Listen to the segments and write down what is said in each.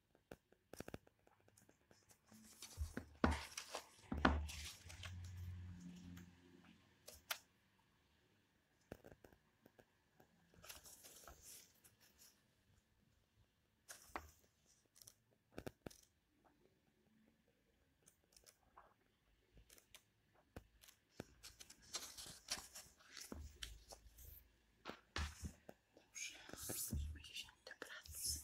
Dobrze, przyjrzyjmy się do pracy.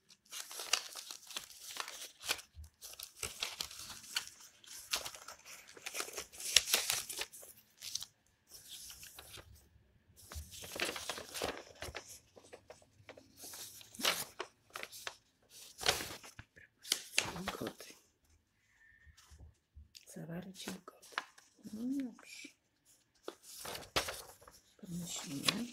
koty. Zawarcie koty. No dobrze. Pomyślimy.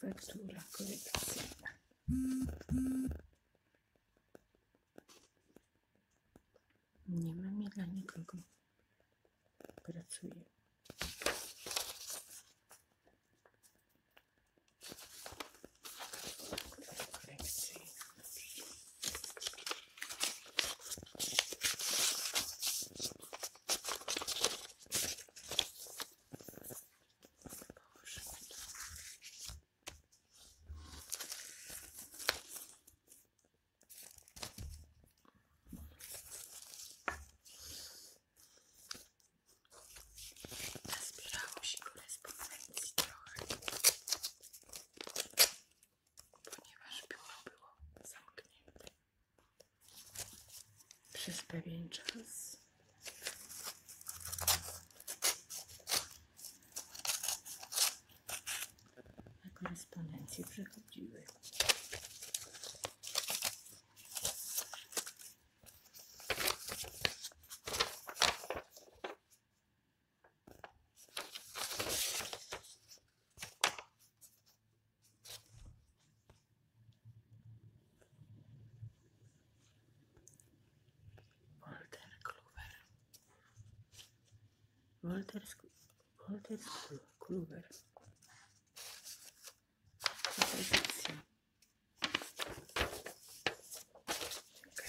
Faktura korekcyjna. Nie mam dla nikogo. Pracuję. Faktura Zbierało się korespondencji trochę ponieważ biuro było zamknięte przez pewien czas. Na korespondencje przychodziły. Walter Clover Walter, Sc Walter Sc Clover Okay.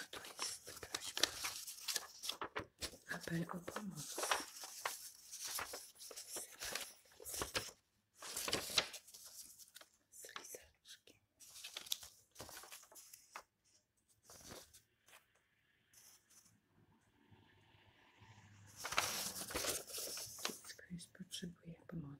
A tu jest prośba. Apel o Z lizaczkiem. Ktoś potrzebuje pomocy.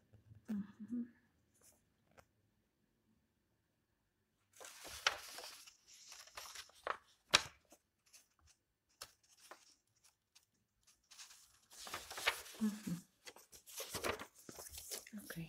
Mm -hmm. Mm -hmm. Okay.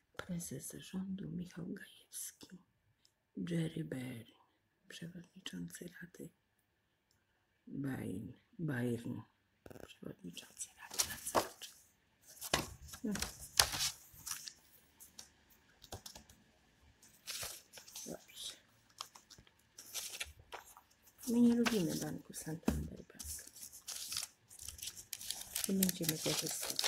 prezes rządu Michał Gajewski, Jerry Berry, przewodniczący Rady Bayern, Bayern przewodniczący Rady Nadzorczej. No. Dobrze. My nie lubimy banku Santander i będziemy korzystać.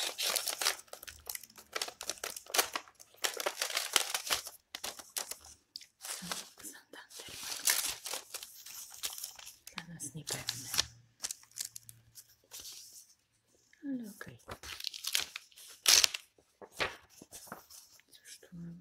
Santander dla nas niepewne, ale okej. Okay. Cóż tu mamy?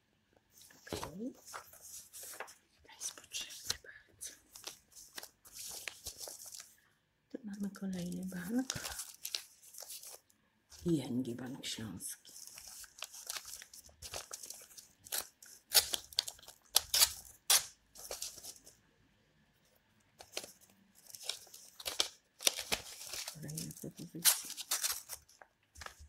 Tu. To jest potrzebne bardzo. Tu mamy kolejny bank. ING Bank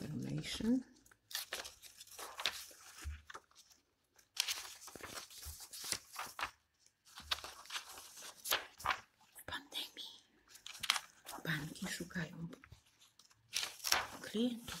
information. W pandemii banki szukają klientów.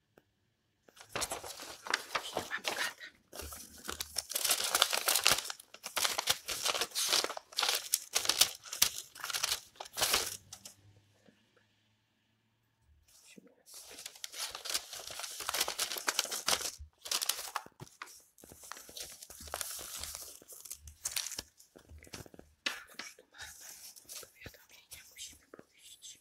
I mam kata. Cóż tu mamy? Powiadomienia musimy pójść.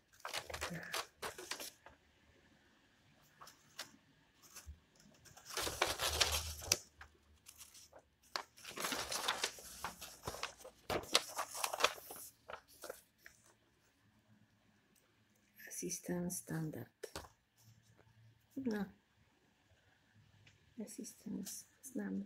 Assistance standard. No. Assistance znam.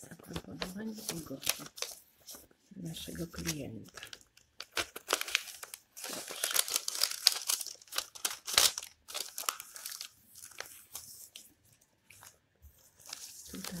zaproponowań i gości naszego klienta. Tutaj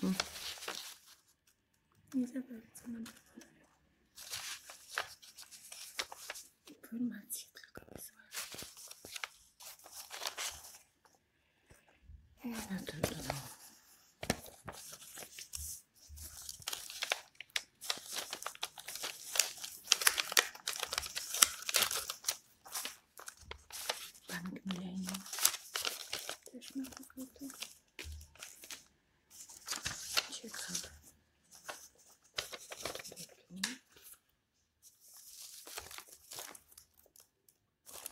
Hmm. Nie za bardzo mam informacje tylko wysłane. No to no. Bank Millennium. Ciekawe.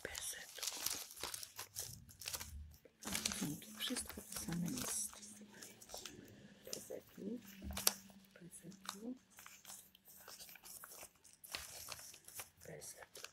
Bezetku. No, tu wszystko to same jest. Bezetku. Bezetku. Bezetku.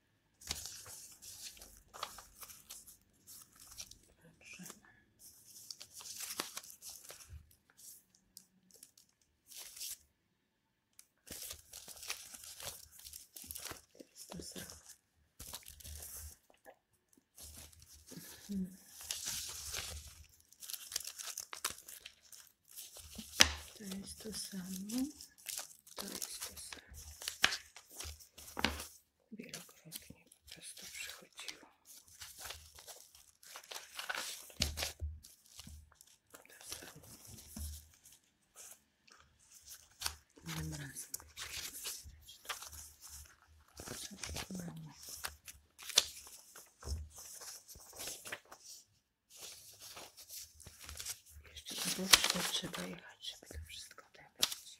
Patrzymy. Jest to zdrowe. Hmm. To jest to samo. To jest to samo wielokrotnie po przychodziło. Innym Jeszcze trzeba jechać, żeby to wszystko odebrać.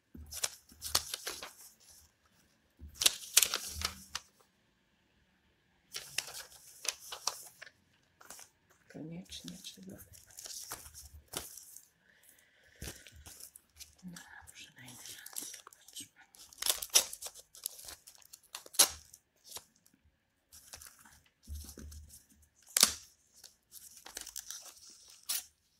Koniecznie trzeba. No, może na inny raz zobaczmy.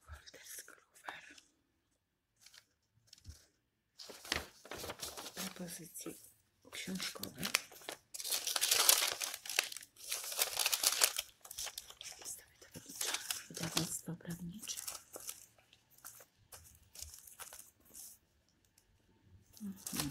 Folder z Propozycje książkowe. Stawię to wydawnictwo prawnicze. Mhm.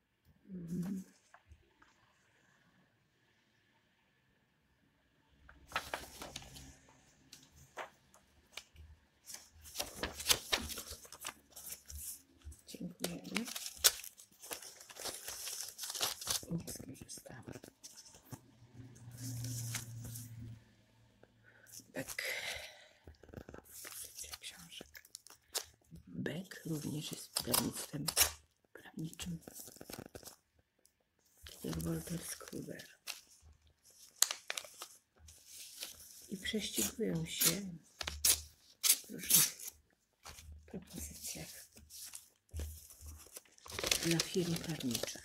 Dziękujemy. Nie skorzystamy. Bek. Książek. Beck również jest wydawnictwem prawniczym, tak jak Walter I prześcigują się w różnych propozycjach dla firm prawniczych.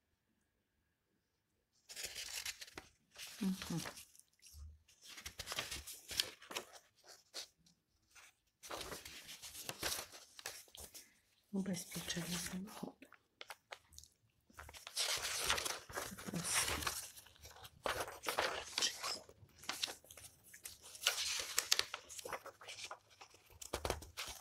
Mhm. Ubezpieczenie samochodu.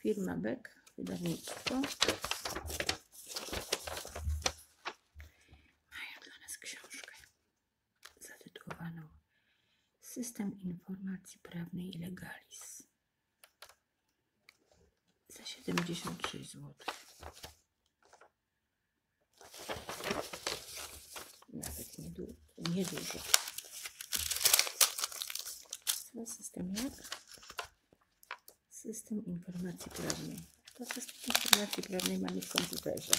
firma Beck, wydawnictwo. Mają dla nas książkę zatytułowaną System Informacji Prawnej i Legalizm za 76 zł. Nawet niedużo. Nie Co system jak? System informacji prawnej. To system informacji prawnej mamy w komputerze.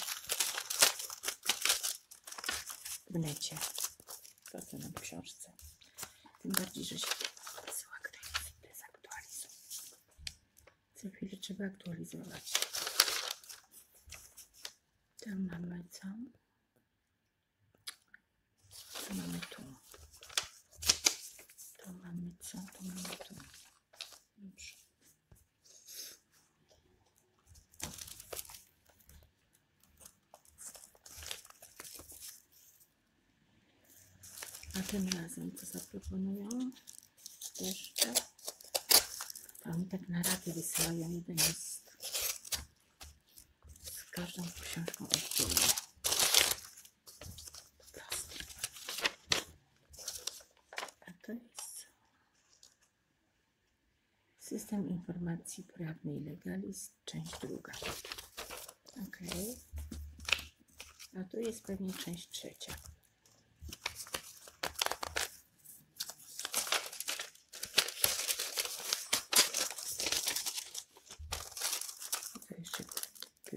W necie. To co nam w książce. Tym bardziej, że się wysyła ktoś inny z aktualizą. Co chwilę trzeba aktualizować. Tam mamy co? Co mamy tu? To mamy co? To mamy tu. Dobrze. A tym razem co zaproponowałam? Jeszcze. Tam tak na raty wysyłają jeden jest z każdą książką oddzielnie. A to jest System Informacji Prawnej Legalis, część druga. Ok. A tu jest pewnie część trzecia. To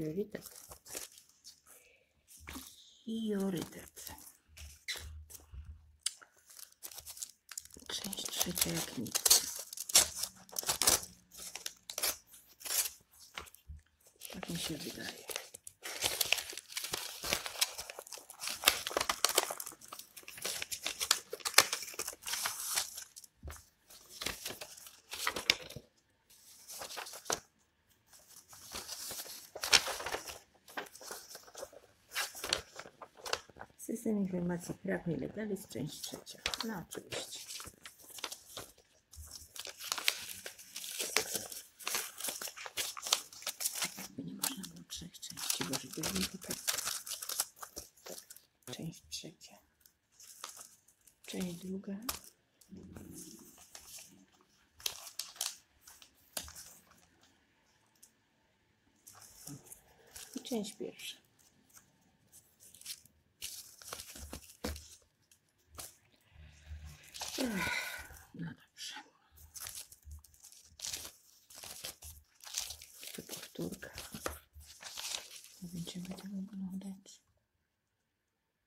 priorytet. Część trzecia jak nic. Tak mi się wydaje. System informacji prawnej legalis, część trzecia. No oczywiście. Jakby nie można było trzech części, bo żeby tak. Tak, Część trzecia. Część druga. Część pierwsza. No dobrze. To powtórka. Będziemy tego oglądać.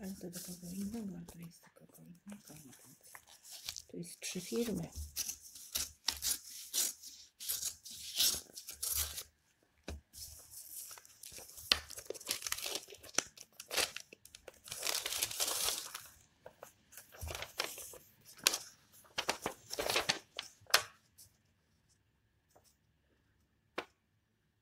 Ale to do innego, a jest do innego. Tu jest trzy firmy.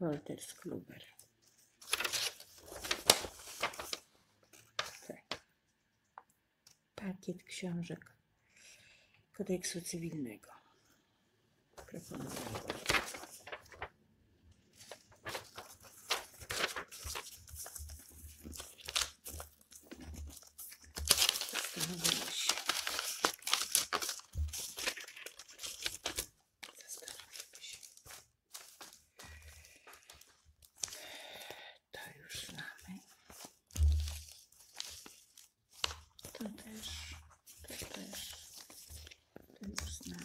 Walter Skruber. Tak. Pakiet książek kodeksu cywilnego. Proponuję. Zastanowimy się. Zastanowimy się. To już znamy. To też, to też, to już znamy.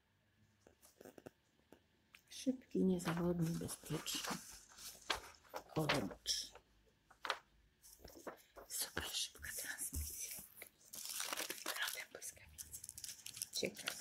Szybki, niezawodny, bezpieczny. Orange. Super szybka transmisja. Rodem błyskawicy. Ciekawe.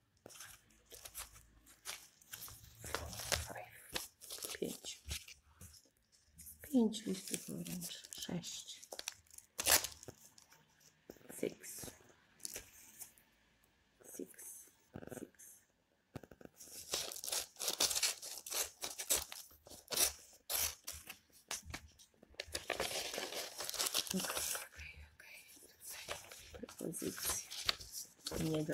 pięć. Pięć listów wręcz. Sześć. Six. Six. Six. Nie do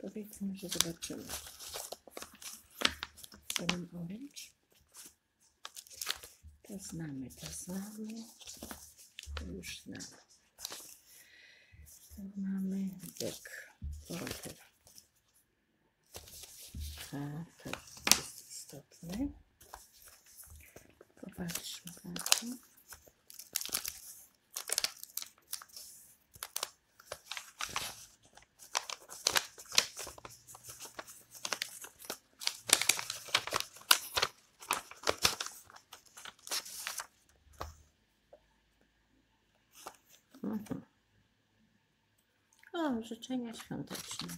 Powiedzmy, że zobaczymy. Ten orange. To znamy, to znamy. już znamy. mamy dek Dorotywa. Tak, tak, A to jest Mhm. O, życzenia świąteczne.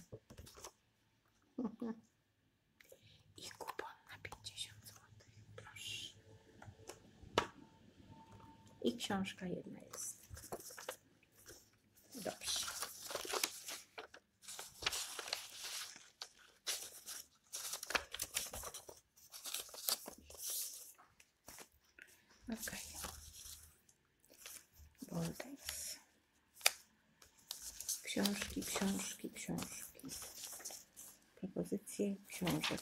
I kupon na 50 zł, proszę. I książka jedna jest. Dobrze. Okej. Okay. Książki, książki, książki. Propozycje książek.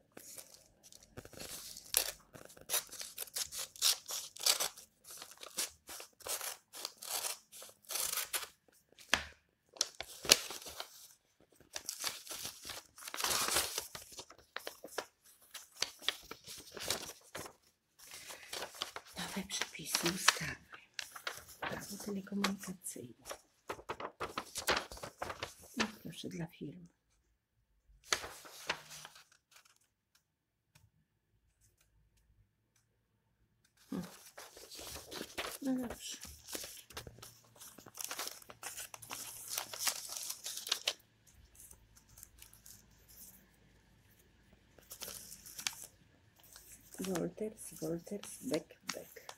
Nowe przepisy ustawy. Prawo telekomunikacyjne. No proszę, dla firm. Hmm. No dobrze. Wolters, Wolters, Beck, Beck.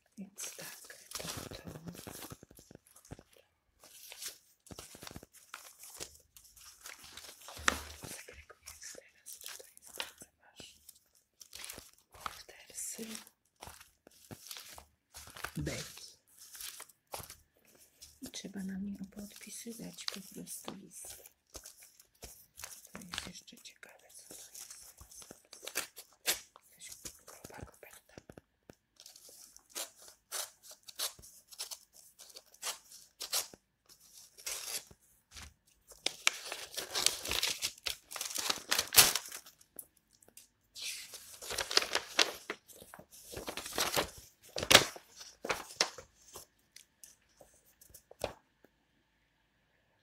Więc tak, to, to. Segregując teraz, tutaj jest bardzo masz bordersy beki. I trzeba na mnie podpisywać po prostu listy. To jest jeszcze ciekawe, co to jest. Coś grubego pęta.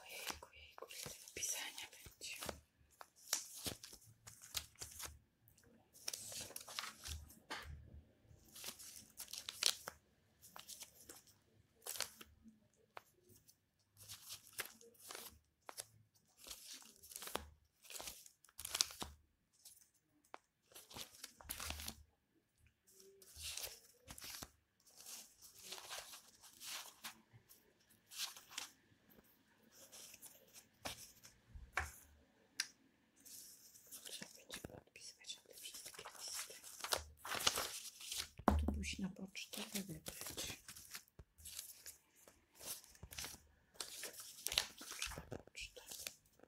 Ojejku, jejku, ile tego pisania będzie. Trzeba odpisywać na te wszystkie listy. Tu pójść na pocztę, wybrać. Poczta, poczta.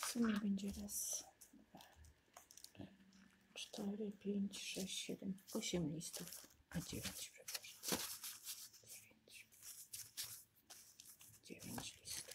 W sumie będzie raz, dwa, cztery, pięć, sześć, siedem, osiem listów, a dziewięć, przepraszam. Dziewięć. Dziewięć listów.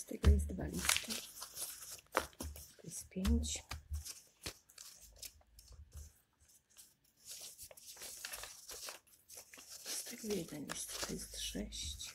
Z tego jest dwa listy. jest pięć. Z tego jeden list. jest sześć.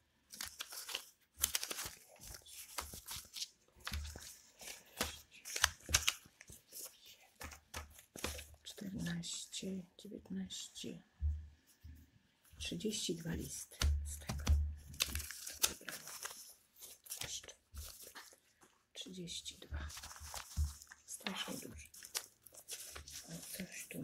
dziewiętnaście trzydzieści dwa listy z tego. Jeszcze 32. Strasznie dużo. O, coś tu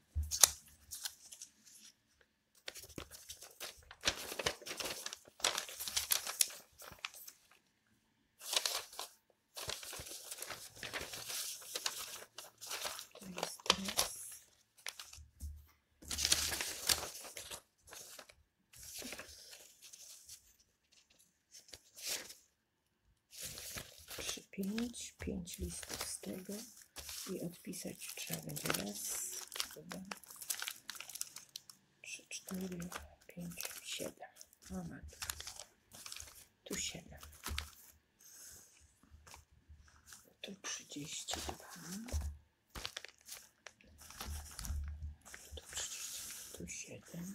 pięć, pięć listów z tego i odpisać trzeba będzie raz, dwa, trzy, cztery, pięć, siedem. O matka. Tu siedem. Tu trzydzieści dwa. Tu siedem.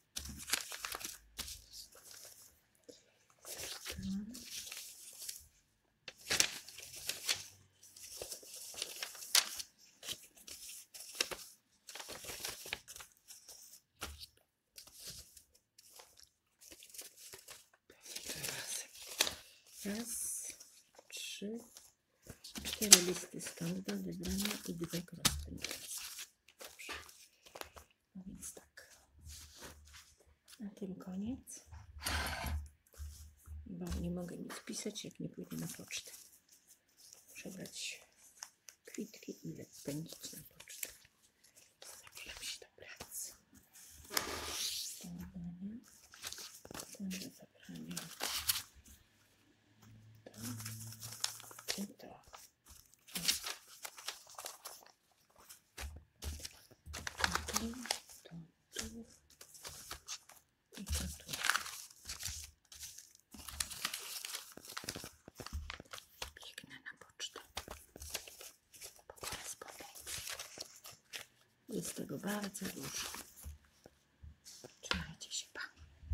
Raz, trzy, cztery listy stąd do wybrania i dwa krosty. Dobrze. No więc tak. Na tym koniec. Bo nie mogę nic pisać, jak nie pójdę na pocztę. Przebrać kwitki ile pędzić na pocztę. Zabieram się do pracy. Ten zabrania. Ten zabrania to, to. Tu, tu, tu, na pocztę. Po korespondencji. Jest tego bardzo dużo. Trzymajcie się, pa.